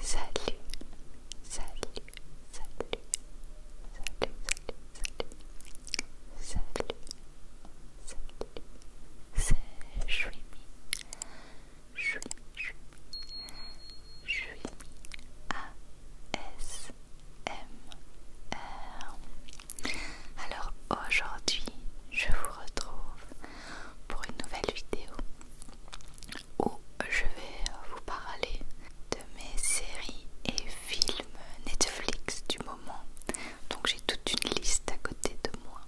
Salut, salut, salut, salut, salut, salut, salut, salut, c'est A S M R Alors aujourd'hui, je vous retrouve pour une nouvelle vidéo où je vais vous parler de mes séries et films Netflix du moment. Donc j'ai toute une liste à côté de moi.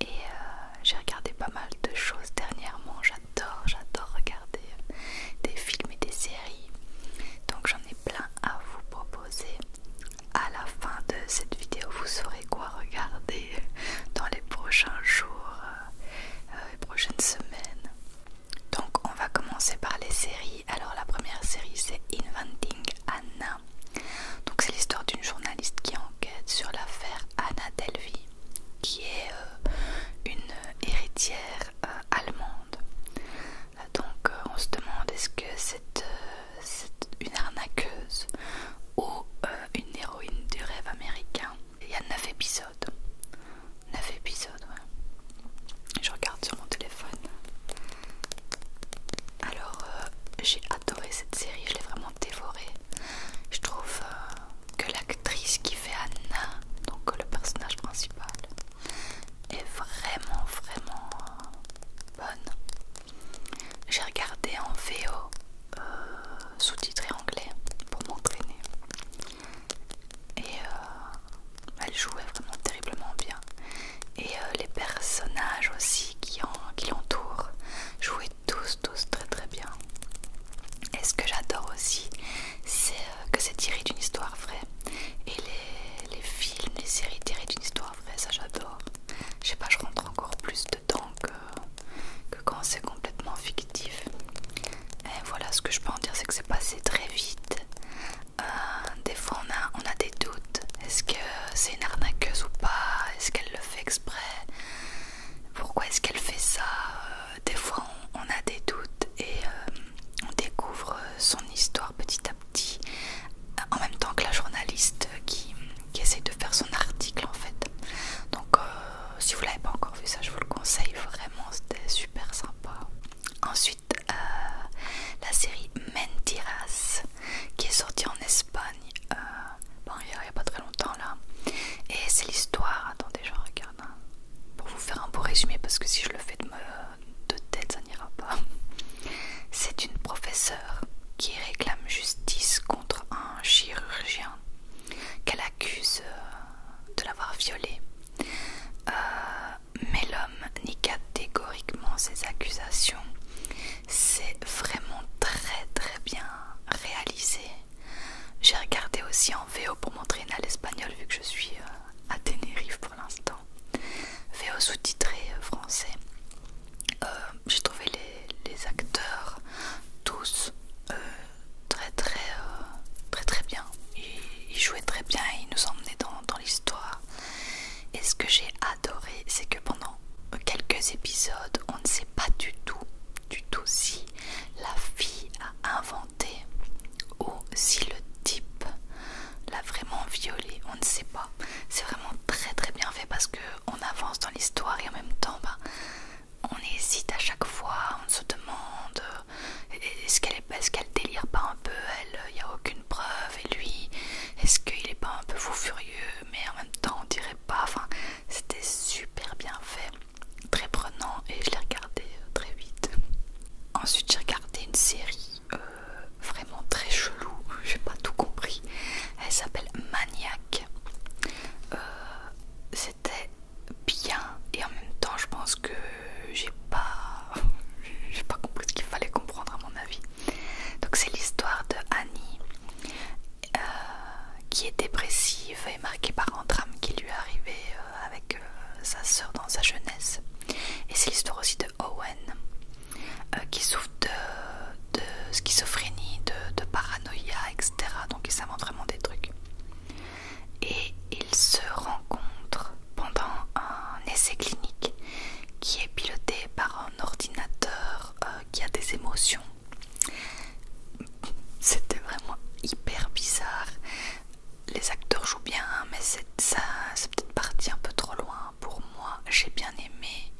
Et euh, j'ai regardé pas mal de choses dernièrement. J'adore, j'adore regarder euh, des films et des séries. Donc j'en ai plein à vous proposer. À la fin de cette vidéo, vous saurez quoi regarder dans les prochains jours, euh, euh, les prochaines semaines. Donc on va commencer par les séries. Alors la première série c'est Inventing Anna. Donc c'est l'histoire d'une journaliste qui enquête sur l'affaire Anna Delvey, qui est euh, une héritière allemande. Donc on se demande est-ce que cette c'est une arnaqueuse ou euh, une héroïne du rêve américain. Il y a 9 épisodes. 9 épisodes, ouais. Je regarde sur mon téléphone. Alors, euh, j'ai adoré cette série, je l'ai vraiment dévorée. Je trouve euh, que l'actrice qui fait Anna, donc le personnage principal, est vraiment, vraiment bonne. J'ai regardé en VO euh, sous-titré anglais pour m'entraîner. Et euh, elle jouait vraiment terriblement bien. Et euh, les personnages aussi qui, l'entourent jouaient tous, tous très très bien. Et ce que j'adore aussi, c'est que c'est tiré d'une histoire vraie. Et les, films, les séries tirées d'une histoire vraie, ça j'adore. Je sais pas, je rentre encore plus dedans que que quand c'est complètement fictif. Et voilà ce que je peux en dire, c'est que c'est passé très vite. Euh, des fois on a, on a des doutes. Est-ce que c'est une arnaqueuse ou pas Est-ce qu'elle le fait exprès Pourquoi est-ce qu'elle fait ça euh, Des fois on, a des doutes et euh, on découvre son histoire petit à petit en même temps que la journaliste qui, qui essaye de faire son article en fait. Donc euh, si vous l'avez pas encore vu ça je vous le conseille vraiment, c'était super sympa. Ensuite euh, la série Mentiras qui est sortie en Espagne euh, il n'y a, pas très longtemps là. Et c'est l'histoire, attendez je regarde hein, pour vous faire un beau résumé parce que si je le fais de, me, de tête ça n'ira pas. C'est une professeure qui réclame justice contre un chirurgien qu'elle accuse euh, de l'avoir violée. Euh, mais l'homme nie catégoriquement ses accusations. C'est vraiment très très bien réalisé. J'ai regardé aussi en VO pour m'entraîner à l'espagnol vu que je suis euh, à Tenerife pour l'instant. VO sous-titré français. Euh, j'ai trouvé les, acteurs tous euh, très très euh, très très bien. Ils, jouaient très bien, et ils nous emmenaient dans, l'histoire. Et ce que j'ai adoré, c'est que pendant quelques épisodes, on ne sait pas du tout, du tout si la fille a inventé ou si le type l'a vraiment violée. On ne sait pas. C'est vraiment très très bien fait parce que on avance dans l'histoire et en même temps bah, on hésite à chaque fois, on se demande euh, est-ce qu'elle est, est qu'elle délire pas un peu, elle, il n'y a aucune preuve et lui, est-ce qu'il est pas un peu fou furieux mais en même temps on dirait pas, enfin c'était super bien fait, très prenant et je l'ai regardé euh, très vite. Ensuite j'ai regardé une série euh, vraiment très chelou, j'ai pas tout compris. Elle s'appelle Maniac. Euh, c'était bien et en même temps, je pense que j'ai pas, j'ai pas compris ce qu'il fallait comprendre à mon avis. Donc c'est l'histoire de Annie euh, qui est dépressive et marquée par un drame qui lui est arrivé avec sa sœur dans sa jeunesse. Et c'est l'histoire aussi de Owen euh, qui souffre de, schizophrénie, de, paranoïa, etc. Donc ils savent vraiment des trucs. Et ils se rencontrent pendant un essai clinique qui est piloté par un ordinateur euh, qui a des émotions. C'était vraiment hyper bizarre. Les acteurs jouent bien, mais c'est peut-être parti un peu trop loin pour moi, j'ai bien aimé.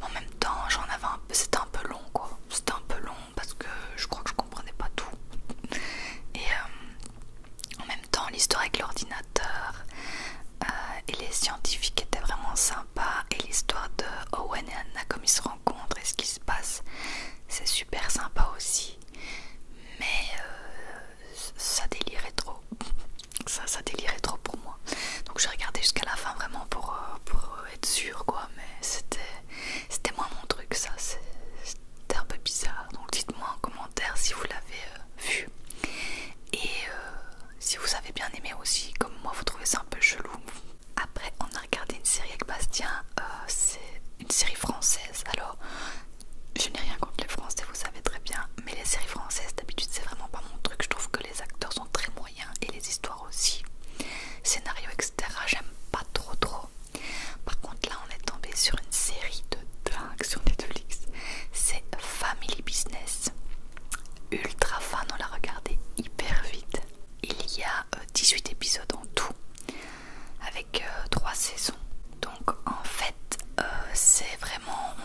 en même temps, j'en avais un peu, c'était un peu long quoi. C'était un peu long parce que je crois que je comprenais pas tout. Et euh, en même temps, l'histoire avec l'ordinateur euh, et les scientifiques étaient vraiment sympa Et l'histoire de Owen et Anna, comme ils se rencontrent et ce qui se passe, c'est super sympa aussi. Mais euh, ça délirait trop. Ça, ça délirait trop pour moi. Donc j'ai regardé jusqu'à la fin vraiment pour, euh, euh, être sûr quoi. Mais c'était c'était moins mon truc ça. C'était un peu bizarre. Donc dites-moi en commentaire si vous l'avez euh, vu. Et si vous avez bien aimé aussi, comme moi vous trouvez ça un peu chelou. Après on a regardé une série avec Bastien. C'est une série française. Alors je n'ai rien contre les Français, vous savez très bien, mais les séries françaises d'habitude c'est vraiment pas mon truc. Je trouve que les acteurs sont très moyens et les histoires aussi. Scénario, etc. J'aime pas trop trop. Par contre là on est tombé sur une série de dingue sur Netflix. C'est Family Business. Ultra fan, on l'a regardé hyper vite. Il y a 18 euh, épisodes en tout, avec 3 euh, saisons. Donc en fait, euh, c'est vraiment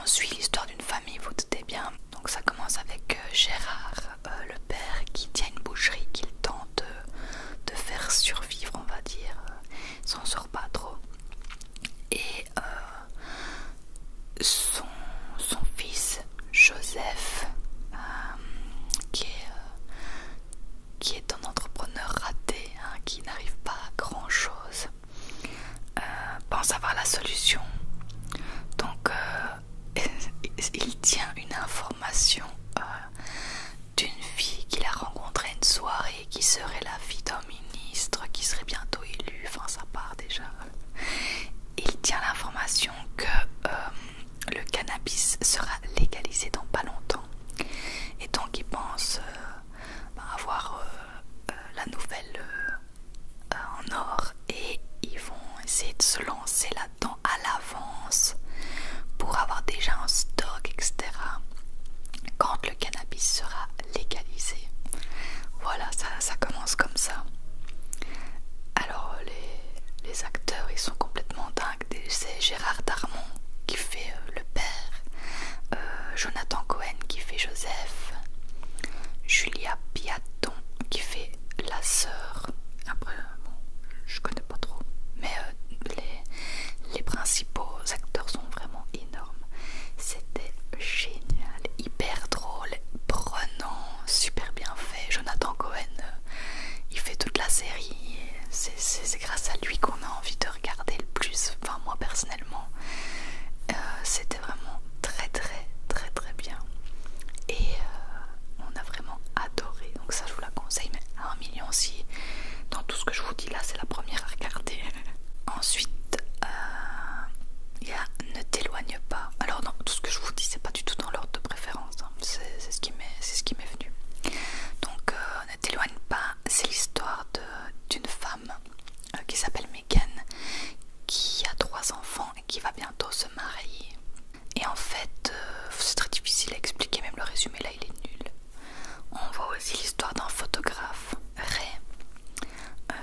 on suit l'histoire d'une famille, vous doutez bien. Donc ça commence avec euh, Gérard, euh, le père, qui tient une boucherie qu'il tente euh, de, faire survivre, on va dire. Il s'en sort pas trop. Et son, fils, Joseph, qui, est, un entrepreneur raté, hein, qui n'arrive pas à grand chose. Euh, pense avoir la solution. Donc, euh, il tient une information euh, d'une fille qu'il a rencontrée une soirée qui serait la fille d'un ministre qui serait bientôt élu. Enfin, ça part déjà. Il tient l'information que le cannabis sera légalisé dans pas longtemps. Et donc, il pense avoir euh, la nouvelle euh, euh, en or et ils vont essayer de se lancer là-dedans à l'avance pour avoir déjà un stock, etc. Quand le cannabis sera légalisé. Voilà, ça, commence comme ça. Alors les, acteurs, ils sont complètement dingues. C'est Gérard Darmon qui fait le père euh, Jonathan Cohen qui fait Joseph, Julia Piaton qui fait la sœur. Après, je connais pas trop, mais euh, les, les principaux acteurs sont vraiment énormes. C'était génial, hyper drôle, prenant, super bien fait. Jonathan Cohen, euh, il fait toute la série. C'est grâce à lui qu'on a envie de regarder le plus, enfin moi personnellement, euh, c'était vraiment très très très très bien et euh, on a vraiment adoré donc ça je vous la conseille mais à un million si dans tout ce que je vous dis là c'est la première à regarder ensuite euh, il y a ne t'éloigne pas alors non tout ce que je vous dis c'est pas du tout dans l'ordre de préférence hein. c'est ce qui m'est venu donc ne t'éloigne pas c'est l'histoire d'une femme euh, qui s'appelle Megan qui a trois enfants et qui va bientôt se marier. Et en fait, euh, c'est très difficile à expliquer, même le résumé là il est nul. On voit aussi l'histoire d'un photographe, Ray, euh,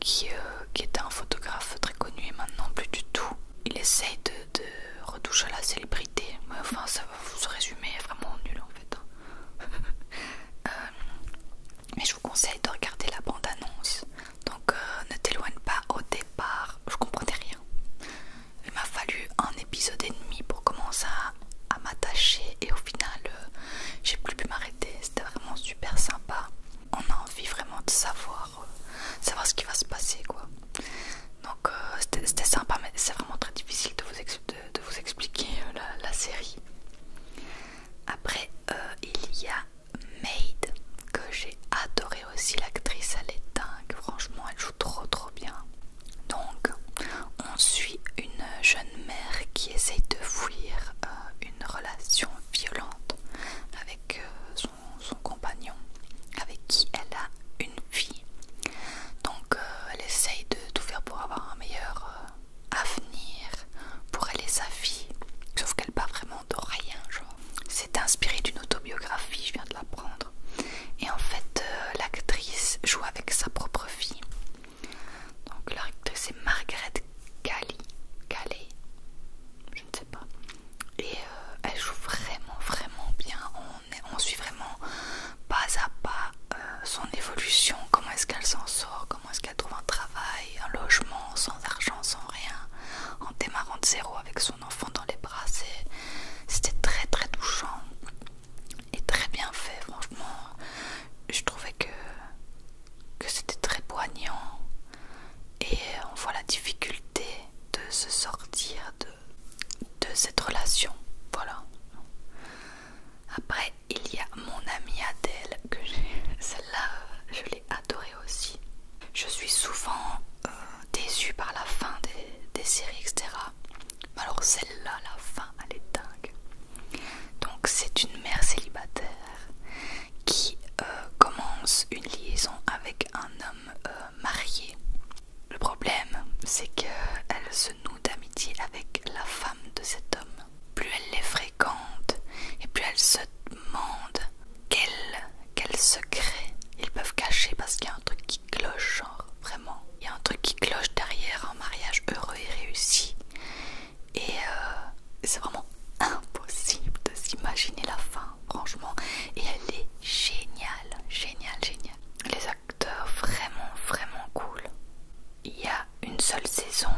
qui, était un photographe très connu et maintenant plus du tout. Il essaye de, de retoucher la célébrité, mais enfin ça, ce résumé est vraiment nul en fait. Hein. Euh, mais je vous conseille de regarder la bande annonce donc euh, ne t'éloigne pas au départ je comprenais rien il m'a fallu un épisode et demi pour commencer à, m'attacher et au final euh, j'ai plus pu m'arrêter c'était vraiment super sympa on a envie vraiment de savoir ce qui va se passer quoi donc c'était sympa mais c'est vraiment très difficile de vous, expliquer de vous expliquer euh, la, série. Après, euh, il y a Maid, que j'ai adoré aussi. L'actrice, elle est dingue. Franchement, elle joue trop trop bien. Donc, on suit une jeune mère qui essaye de fuir euh, une relation violente avec son compagnon, avec qui elle a une fille. Donc euh, elle essaye de tout faire pour avoir un meilleur euh, avenir pour elle et sa fille. Sauf qu'elle parle vraiment de rien, genre. C'est inspiré d'une autobiographie, je viens de l'apprendre. Et en fait, euh, l'actrice joue avec sa propre fille. Donc l'actrice c'est Margaret Galley, je ne sais pas. Et elle joue vraiment, vraiment bien on, suit vraiment pas à pas euh, son évolution, comment est-ce qu'elle s'en sort, comment est-ce qu'elle trouve un travail, un logement, sans argent, sans rien, en démarrant de zéro avec son enfant dans les bras. C'était très très touchant et très bien fait, franchement. Je trouvais que, que c'était très poignant et on voit la difficulté de se sortir de de, cette relation. Voilà. Après, il y a mon amie Adèle que j'ai. Celle-là, euh, je l'ai adorée aussi. Je suis souvent euh, déçue par la fin des, séries, etc. Alors celle-là, la fin, elle est dingue. Donc c'est une mère célibataire qui euh, commence une liaison avec un homme marié le problème, c'est qu'elle se noue d'amitié avec la femme de cet homme. Plus elle les fréquente et plus elle se demande quel, secrets secret ils peuvent cacher parce qu'il y a un truc qui cloche, genre vraiment. Il y a un truc qui cloche derrière un mariage heureux et réussi. Et euh, c'est vraiment impossible de s'imaginer la fin, franchement. Et elle est géniale, géniale, géniale vraiment vraiment cool. Il y a une seule saison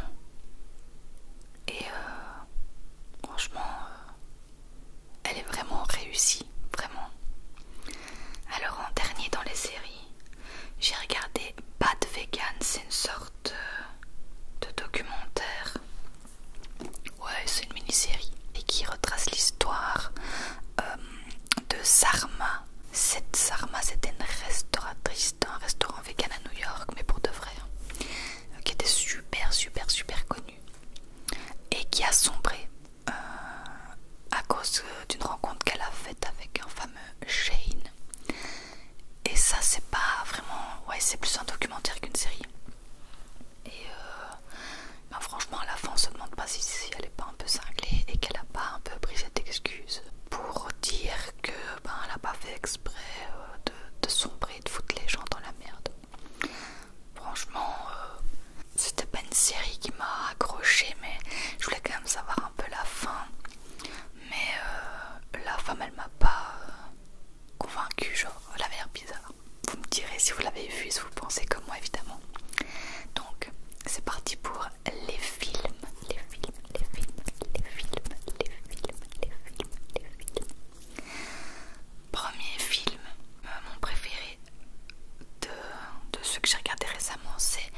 et euh, franchement euh, elle est vraiment réussie, vraiment. Alors en dernier dans les séries, j'ai regardé Bad Vegan, c'est une sorte euh, de, documentaire. Ouais, c'est une mini-série et qui retrace l'histoire de Sarma. Cette Sarma, c'était une restauratrice d'un restaurant vegan à New York, mais pour de vrai, hein. euh, qui était super, super, super connue et qui a sombré euh, à cause euh, d'une rencontre qu'elle a faite avec un fameux Shane. Et ça, c'est pas vraiment. Ouais, c'est plus un documentaire qu'une série. Euh, ben, franchement à la fin on se demande pas si, elle est pas un peu cinglée et qu'elle a pas un peu pris cette excuse pour dire que ben elle a pas fait exprès euh, de, sombrer de foutre les gens dans la merde. Franchement euh, c'était pas une série qui m'a accroché mais je voulais quand même savoir un peu la fin. Mais la femme elle m'a pas convaincu convaincue genre elle avait l'air bizarre vous me direz si vous l'avez vu si vous pensez comme moi évidemment. Donc c'est parti pour les films, les films, les films, les films, les films, les films, les films. Premier film, euh, mon préféré de, de ceux que j'ai regardé récemment, c'est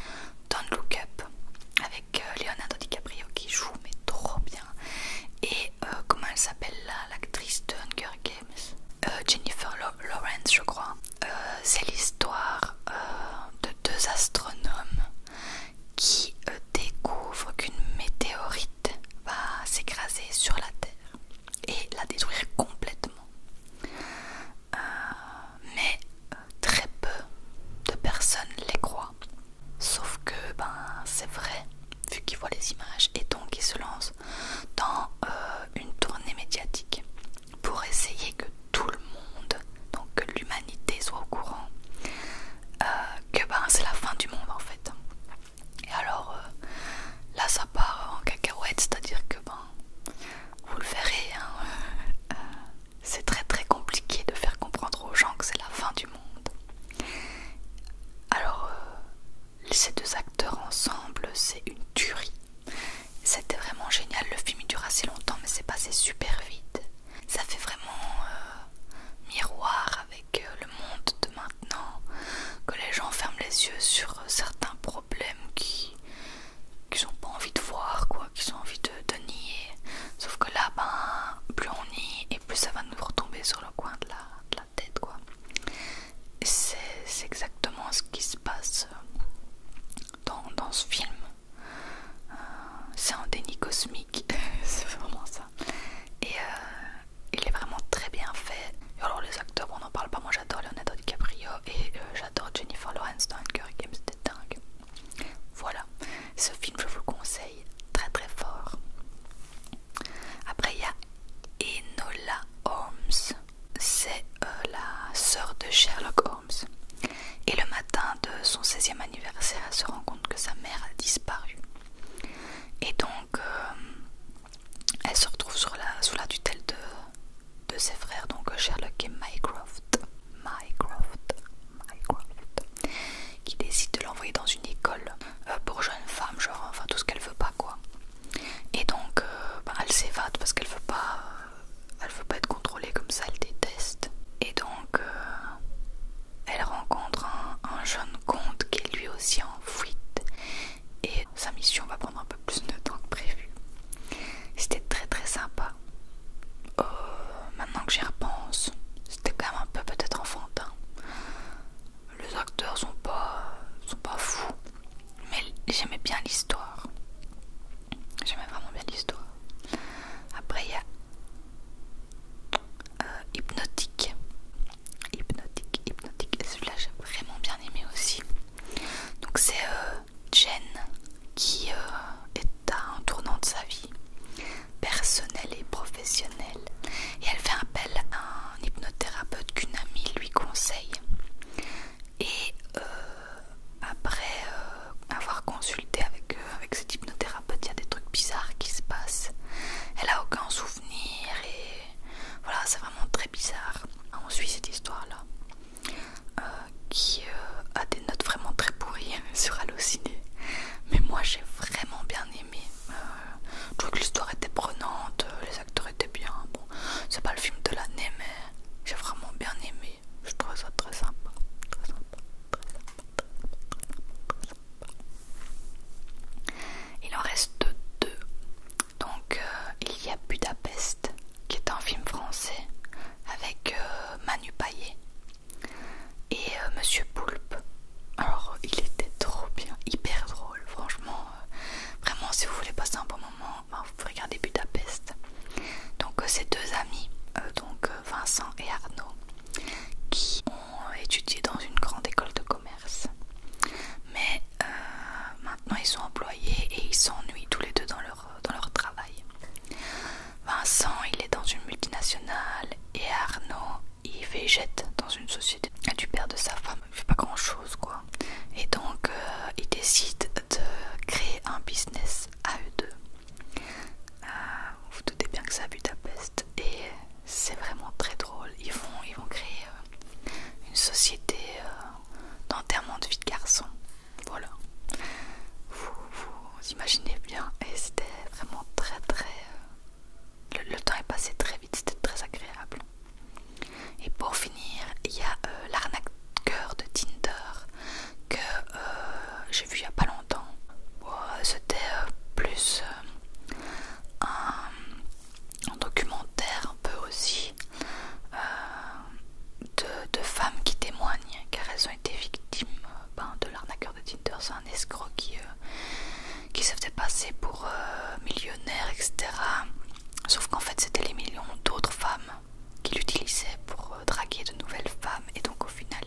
Don't Look Up avec euh, Leonardo DiCaprio qui joue mais trop bien. Et euh, comment elle s'appelle là, l'actrice de Hunger Games euh, Jennifer Lawrence, je crois. Euh, c'est l'histoire euh, de deux astronomes qui découvrent qu'une météorite va s'écraser sur la Terre et la détruire complètement. mais très peu de personnes les croient. Sauf que ben c'est vrai, vu qu'ils voient les images, et donc ils se lancent dans euh, une tournée médiatique pour essayer que tout le monde, donc que l'humanité soit au courant euh, que ben, c'est la fin du monde en fait. Et alors euh, là ça part en cacahuète, c'est-à-dire que ben vous le verrez, hein, c'est très très compliqué de faire comprendre aux gens que c'est la fin du monde. Alors ces deux acteurs ensemble, c'est une tuerie. C'était vraiment génial. Le film dure assez longtemps, mais c'est passé super vite. Ça fait vraiment euh, miroir avec euh, le monde de maintenant, que les gens ferment les yeux sur euh, certains problèmes qui qu'ils n'ont pas envie de voir, quoi, qu'ils ont envie de, nier. Sauf que là, ben, plus on nie et plus ça va nous retomber sur le coin de la tête quoi. C'est exactement ce qui se passe dans, ce film. Euh, c'est un déni cosmique, c'est vraiment ça. Et euh, il est vraiment très bien fait. alors les acteurs, on n'en parle pas, moi j'adore Leonardo DiCaprio et euh, j'adore Jennifer Lawrence dans Curry Games, c'était dingue. Voilà, ce film je vous le conseille très très fort. Après, il y a Enola Holmes. C'est euh, la sœur de Sherlock Holmes. Et le matin de son 16e anniversaire, elle se rend compte que sa mère a disparu. Et donc, euh, elle se retrouve sous la tutelle de, de ses frères, donc Sherlock et Mycroft. Mycroft, Mycroft, qui décide de l'envoyer dans une école euh, pour jeunes femmes, genre, enfin tout ce qu'elle veut pas, quoi. Et donc, euh, bah, elle s'évade parce qu'elle veut pas, euh, elle veut pas être contrôlée comme ça. Elle déteste. Et donc, euh, elle rencontre un, jeune comte qui est lui aussi en fuite. Et sa mission va prendre un peu plus de temps que prévu. C'était très très sympa. maintenant que j'y repense, c'était quand même un peu peut-être enfantin les acteurs sont pas sont pas fous mais j'aimais bien l'histoire j'aimais vraiment bien l'histoire après il y a euh, hypnotique hypnotique hypnotique celui-là j'ai vraiment bien aimé aussi donc c'est euh, Jen qui euh, est à un tournant de sa vie personnelle et professionnelle et elle fait appel à un hypnothérapeute qu'une amie lui conseille. Et euh, après euh, avoir consulté avec, euh, avec cet hypnothérapeute, il y a des trucs bizarres qui se passent. Elle a aucun souvenir et voilà, c'est vraiment très bizarre. On suit cette histoire-là qui a des notes vraiment très pourries sur halluciné Mais moi j'ai vraiment bien aimé. Euh, je trouvais que l'histoire était prenante, euh, les acteurs étaient bien. Bon, c'est pas le film de l'année, mais j'ai vraiment bien aimé. Je trouvais ça très sympa. Il en reste deux. Donc, euh, il y a Budapest, qui est un film français avec Manu Paillet et Monsieur Poulpe, alors il était trop bien, hyper drôle, franchement. Euh, vraiment, si vous voulez passer un bon moment, ben, vous pouvez regarder Budapest. Donc ces euh, deux amis, euh, donc Vincent et Arnaud, qui ont étudié dans une grande école de commerce. Mais maintenant ils sont employés et ils s'ennuient tous les deux dans leur travail. Vincent, il est dans une multinationale et Arnaud, il végète dans une société du père de sa femme. Il fait pas grand chose quoi. Et donc euh, il décide de créer un business à eux deux. Euh, vous, vous doutez bien que c'est à Budapest et c'est vraiment très drôle. Ils vont, créer euh, une société d'enterrement de vie de garçon. Voilà. Vous, imaginez bien et c'était vraiment très très le, temps est passé très vite, c'était très agréable. Et pour finir, il y a euh, l'arnaqueur de Tinder que euh, j'ai vu il n'y a pas longtemps. c'était euh, plus un, documentaire un peu aussi de, femmes qui témoignent car elles ont été victimes ben, de l'arnaqueur de Tinder. C'est un escroc qui, qui se faisait passer pour euh, millionnaire etc. Sauf qu'en fait, c'était les millions d'autres femmes qu'il utilisait pour euh, draguer de nouvelles femmes. Et donc, au final,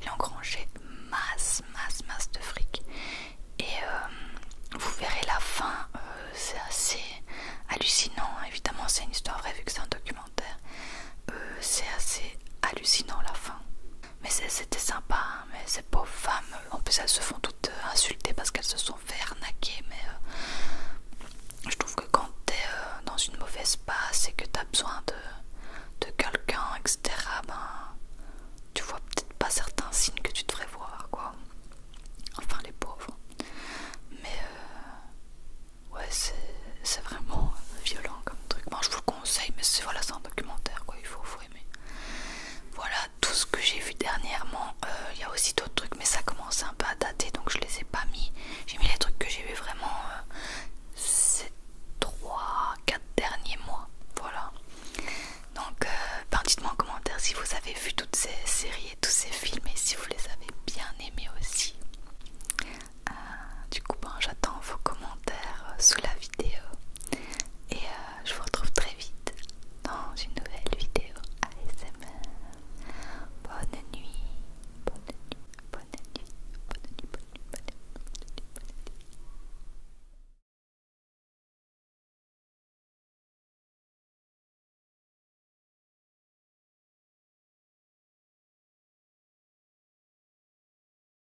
il a engrangé masse, masse, masse de fric. Et euh, vous verrez la fin, c'est assez hallucinant. Évidemment, c'est une histoire vraie vu que c'est un documentaire. c'est assez hallucinant la fin. Mais c'était sympa, hein, mais ces pauvres femmes, euh, en plus elles se font toutes euh, insulter parce qu'elles se sont fait arnaquer, mais euh, je trouve que quand t'es dans une mauvaise passe et que t'as besoin de, de quelqu'un, etc., ben, tu vois peut-être pas certains signes que tu devrais voir, quoi. Enfin, les pauvres. Mais ouais, c'est vraiment violent comme truc. Bon, je vous le conseille, mais c'est un documentaire, quoi. Il faut, faut voilà tout ce que j'ai vu dernièrement. Euh, il y a aussi d'autres trucs, mais ça commence un peu à dater donc je les ai pas mis. J'ai mis les trucs que j'ai vu vraiment euh, ces 3-4 derniers mois. Voilà. Donc, euh, ben, dites-moi en commentaire si vous avez vu toutes ces séries et tous ces films et si vous les avez bien aimés aussi. du coup, ben, j'attends vos commentaires sous la vidéo et euh, je vous retrouve très vite dans une nouvelle vidéo ASMR. Bonne nuit, bonne nuit, bonne nuit, bonne nuit, bonne nuit, bonne nuit, bonne nuit, bonne nuit.